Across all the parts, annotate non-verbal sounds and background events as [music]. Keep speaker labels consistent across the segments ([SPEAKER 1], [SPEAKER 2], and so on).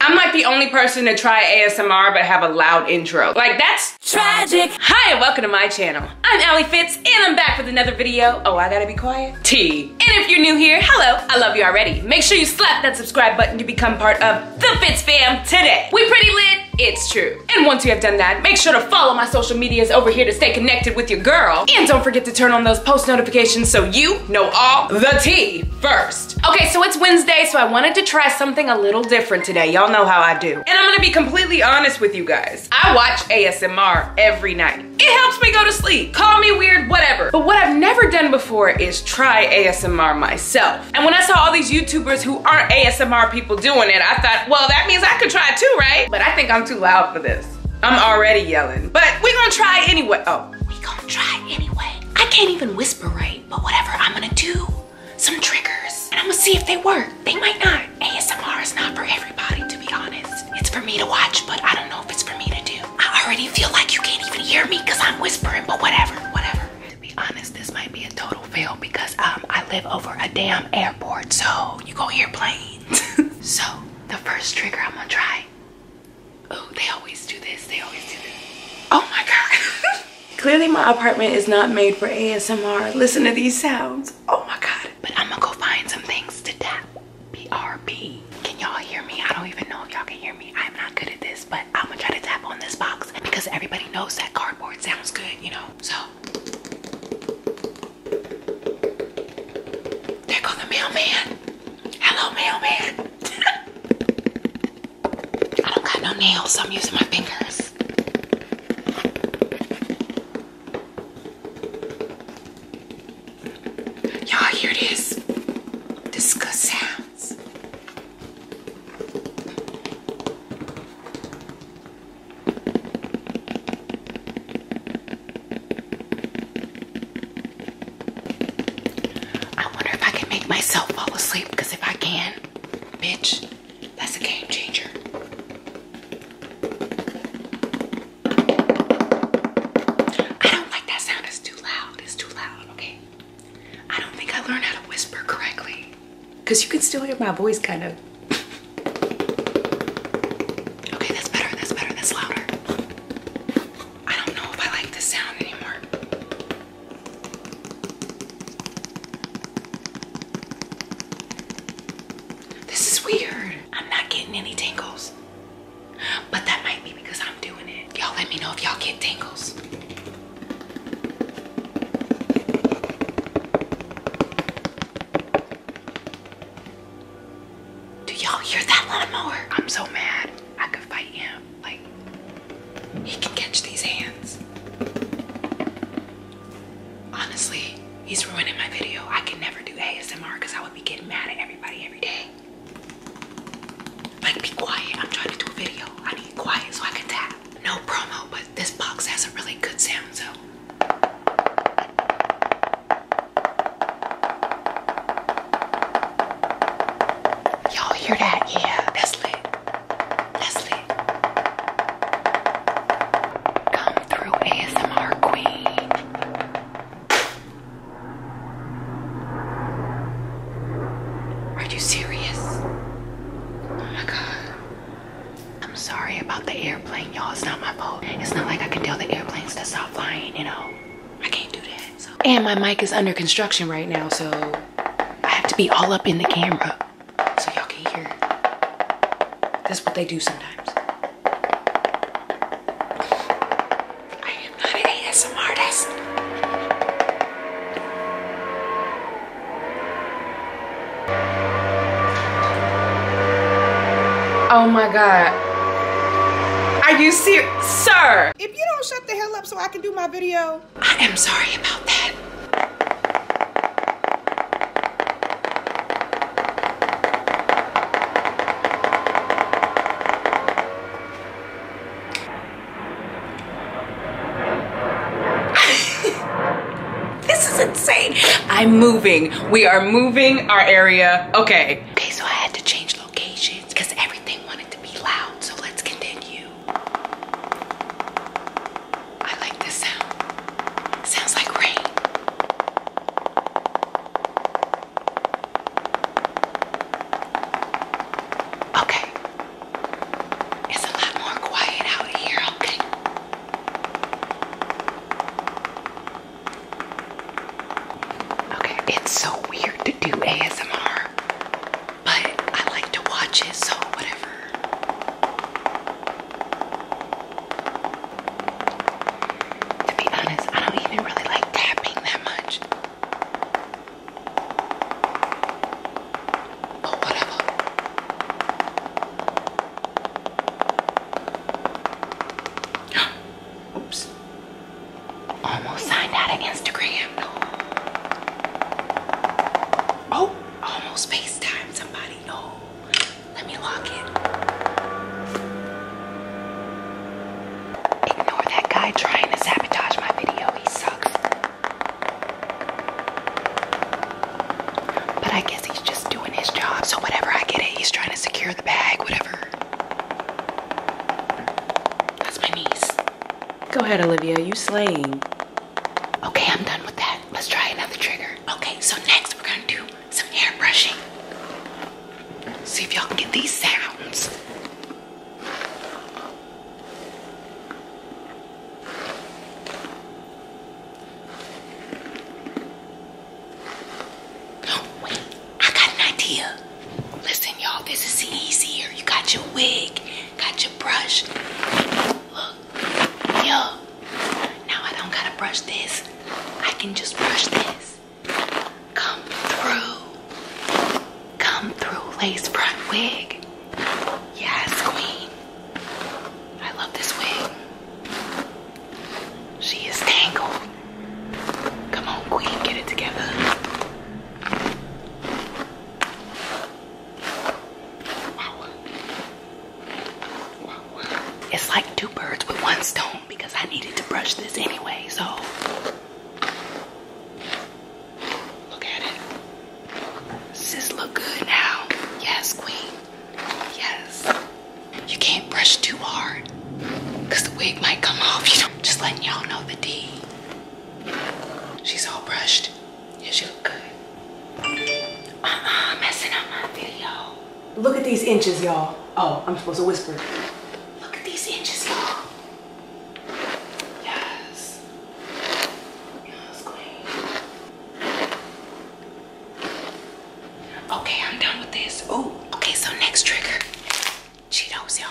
[SPEAKER 1] I'm like the only person to try ASMR but have a loud intro. Like that's tragic. Hi and welcome to my channel. I'm Ali Fitz and I'm back with another video. Oh, I gotta be quiet. T. And if you're new here, hello, I love you already. Make sure you slap that subscribe button to become part of the Fitz fam today. We pretty lit, it's true. And once you have done that, make sure to follow my social medias over here to stay connected with your girl. And don't forget to turn on those post notifications so you know all the tea first. Okay, so it's Wednesday, so I wanted to try something a little different today. Y'all know how I do. And I'm gonna be completely honest with you guys. I watch ASMR every night. It helps me go to sleep. Call me weird, whatever. But what I've never done before is try ASMR myself. And when I saw all these YouTubers who aren't ASMR people doing it, I thought, well, that means I could try too, right? But I think I'm too loud for this. I'm already yelling. But we gonna try anyway. Oh, we gonna try anyway. I can't even whisper but whatever, I'm gonna do some triggers and I'm gonna see if they work. They might not. ASMR is not for everybody, to be honest. It's for me to watch, but I don't know if it's for me to do. I already feel like you can't even hear me because I'm whispering, but whatever, whatever. To be honest, this might be a total fail because um, I live over a damn airport, so you go airplanes. [laughs] so the first trigger I'm gonna try oh they always do this they always do this oh my god [laughs] clearly my apartment is not made for asmr listen to these sounds oh my god but i'm gonna go find some things to tap brb can y'all hear me i don't even know if y'all can hear me i'm not good at this but i'm gonna try to tap on this box because everybody knows that cardboard sounds good you know so there goes the mailman hello mailman [laughs] I don't got no nails, so I'm using my fingers. Y'all hear this? This good sounds. I wonder if I can make myself fall asleep because if I can, bitch, that's a game changer. I don't like that sound, it's too loud. It's too loud, okay? I don't think I learned how to whisper correctly because you can still hear my voice kind of. okay, that's better, that's better, that's louder. I don't know if I like this sound anymore. This is weird. I'm not getting any tingles. But that might be because I'm doing it. Y'all let me know if y'all get tingles. Do y'all hear that lawnmower? I'm so mad. I could fight him. Like, he can catch these hands. Honestly, he's ruining my video. I can never do ASMR because I would be getting mad at everybody every day. Like, be quiet. I'm trying to do a video. I need quiet so I can tap. No promo, but this box has a really good sound, so. Y'all hear that? Yeah, that's lit. Come through ASMR Queen. Are you serious? Oh my god. I'm sorry about the airplane, y'all. It's not my fault. It's not like I can tell the airplanes to stop flying, you know. I can't do that and my mic is under construction right now, so I have to be all up in the camera so y'all can hear. This is what they do sometimes. I am not an ASM Oh my God. Are you serious? Sir! If you don't shut the hell up so I can do my video, I am sorry about that. [laughs] this is insane. I'm moving. We are moving our area. Okay. Okay, so I had to change locations because everything wanted to be loud. So let's continue. I like this sound. Sounds like rain. Okay. It's a lot more quiet out here, okay? Okay, it's so weird to do ASMR but I like to watch it, so whatever. To be honest, I don't even really like tapping that much. But whatever. [gasps] Oops. Almost signed out of Instagram. Oh, almost FaceTime somebody. Oh, let me lock it. Ignore that guy trying to sabotage my video. He sucks. But I guess he's just doing his job. So whatever, I get it. He's trying to secure the bag, whatever. That's my niece. Go ahead, Olivia. You slaying. Okay, I'm done with that. Let's try another trigger. Okay, so next we're gonna do some hair brushing. See if y'all can get these sounds. Oh, wait, I got an idea. Listen, y'all, this is easier. You got your wig, got brush. Look, yo. Now I don't gotta brush this. I can just brush this. Come through. Come through, lace front wig. Yes, queen. I love this wig. She is tangled. Come on, queen, get it together. It's like two birds with one stone because I needed to brush this anyway, so look at it. Does this look good now? Yes, queen. Yes. You can't brush too hard because the wig might come off, you know. Just letting y'all know the D. She's all brushed. You should look good. Look at these inches, y'all. Oh, I'm supposed to whisper. Look at these inches, y'all. Yes. Yes, queen. Okay, I'm done with this. Ooh, okay, so next trigger. Cheetos, y'all.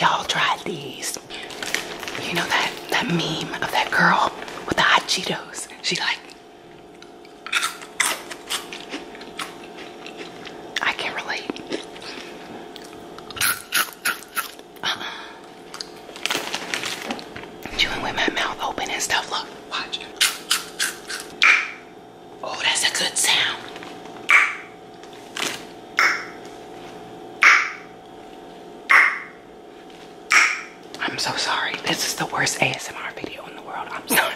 [SPEAKER 1] Y'all try these. You know that, that meme of that girl with the hot Cheetos? She like, I can't relate uh with my mouth open and stuff. Look, watch. Oh, that's a good sound. I'm so sorry. This is the worst ASMR video in the world. I'm sorry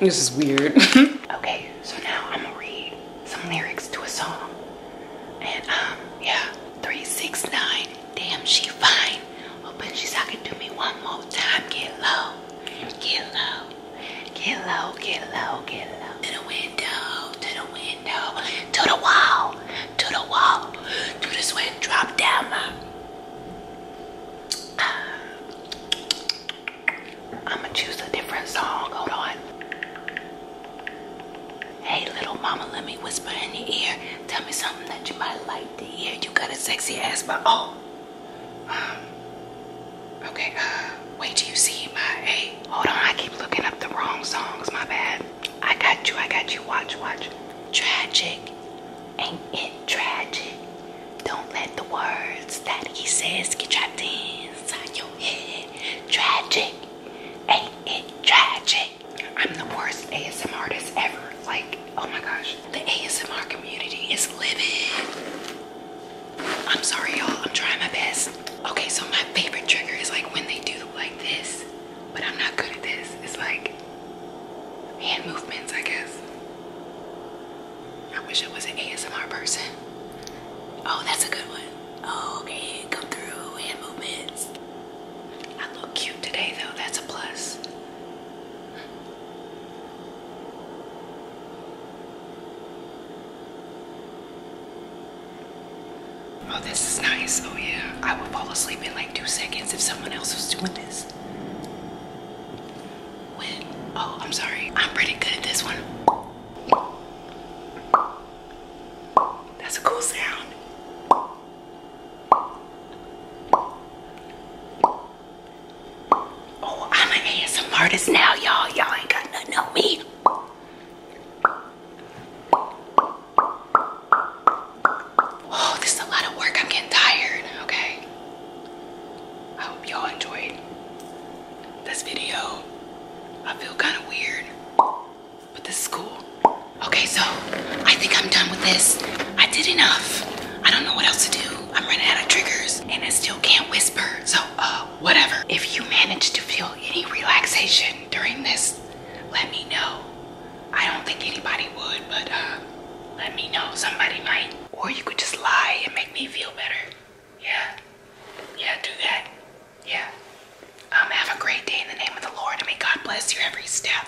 [SPEAKER 1] this is weird. [laughs] okay, so now I'm gonna read some lyrics to a song. And um, yeah, 369, damn she fine. Open she's talking to me one more time. Get low, get low, get low, get low, get low. To the window, to the window, to the wall, to the wall, to the sweat drop down my. Um, I'm gonna choose a different song. Hold on. Hey, little mama, let me whisper in your ear. Tell me something that you might like to hear. You got a sexy ass, but oh. Um, okay, uh, wait till you see my, hey, hold on. I keep looking up the wrong songs, my bad. I got you, I got you. Watch, watch. Tragic. Ain't it tragic? Don't let the words that he says get trapped inside your head. Tragic. Ain't it tragic? I'm the worst ASMR artist ever. Like, oh my gosh. The ASMR community is livid. I'm sorry, y'all. I'm trying my best. Okay, so my favorite trigger is like when they do like this, but I'm not good at this. It's like hand movements, I guess. I wish I was an ASMR person. Oh, that's a good one. Oh, okay, come through, hand movements. I look cute today though, that's a plus. Oh, this is nice. Oh, yeah. I would fall asleep in like two seconds if someone else was doing this. Oh, I'm sorry. I'm pretty good at this one. That's a cool sound. Oh, I'm an ASM artist now, y'all. Y'all ain't got nothing on me. Oh, this is a lot of work. I'm getting tired, okay? I hope y'all enjoyed this video. I feel kind of weird, but this is cool. Okay, so I think I'm done with this. I did enough. I don't know what else to do. I'm running out of triggers and I still can't whisper. So, uh, whatever. If you manage to feel any relaxation during this, let me know. I don't think anybody would, but uh, let me know. Somebody might. Or you could just lie and make me feel better. Yeah. Yeah, do that. Yeah. Um, have a great day in the name of the Lord, and may God bless your every step.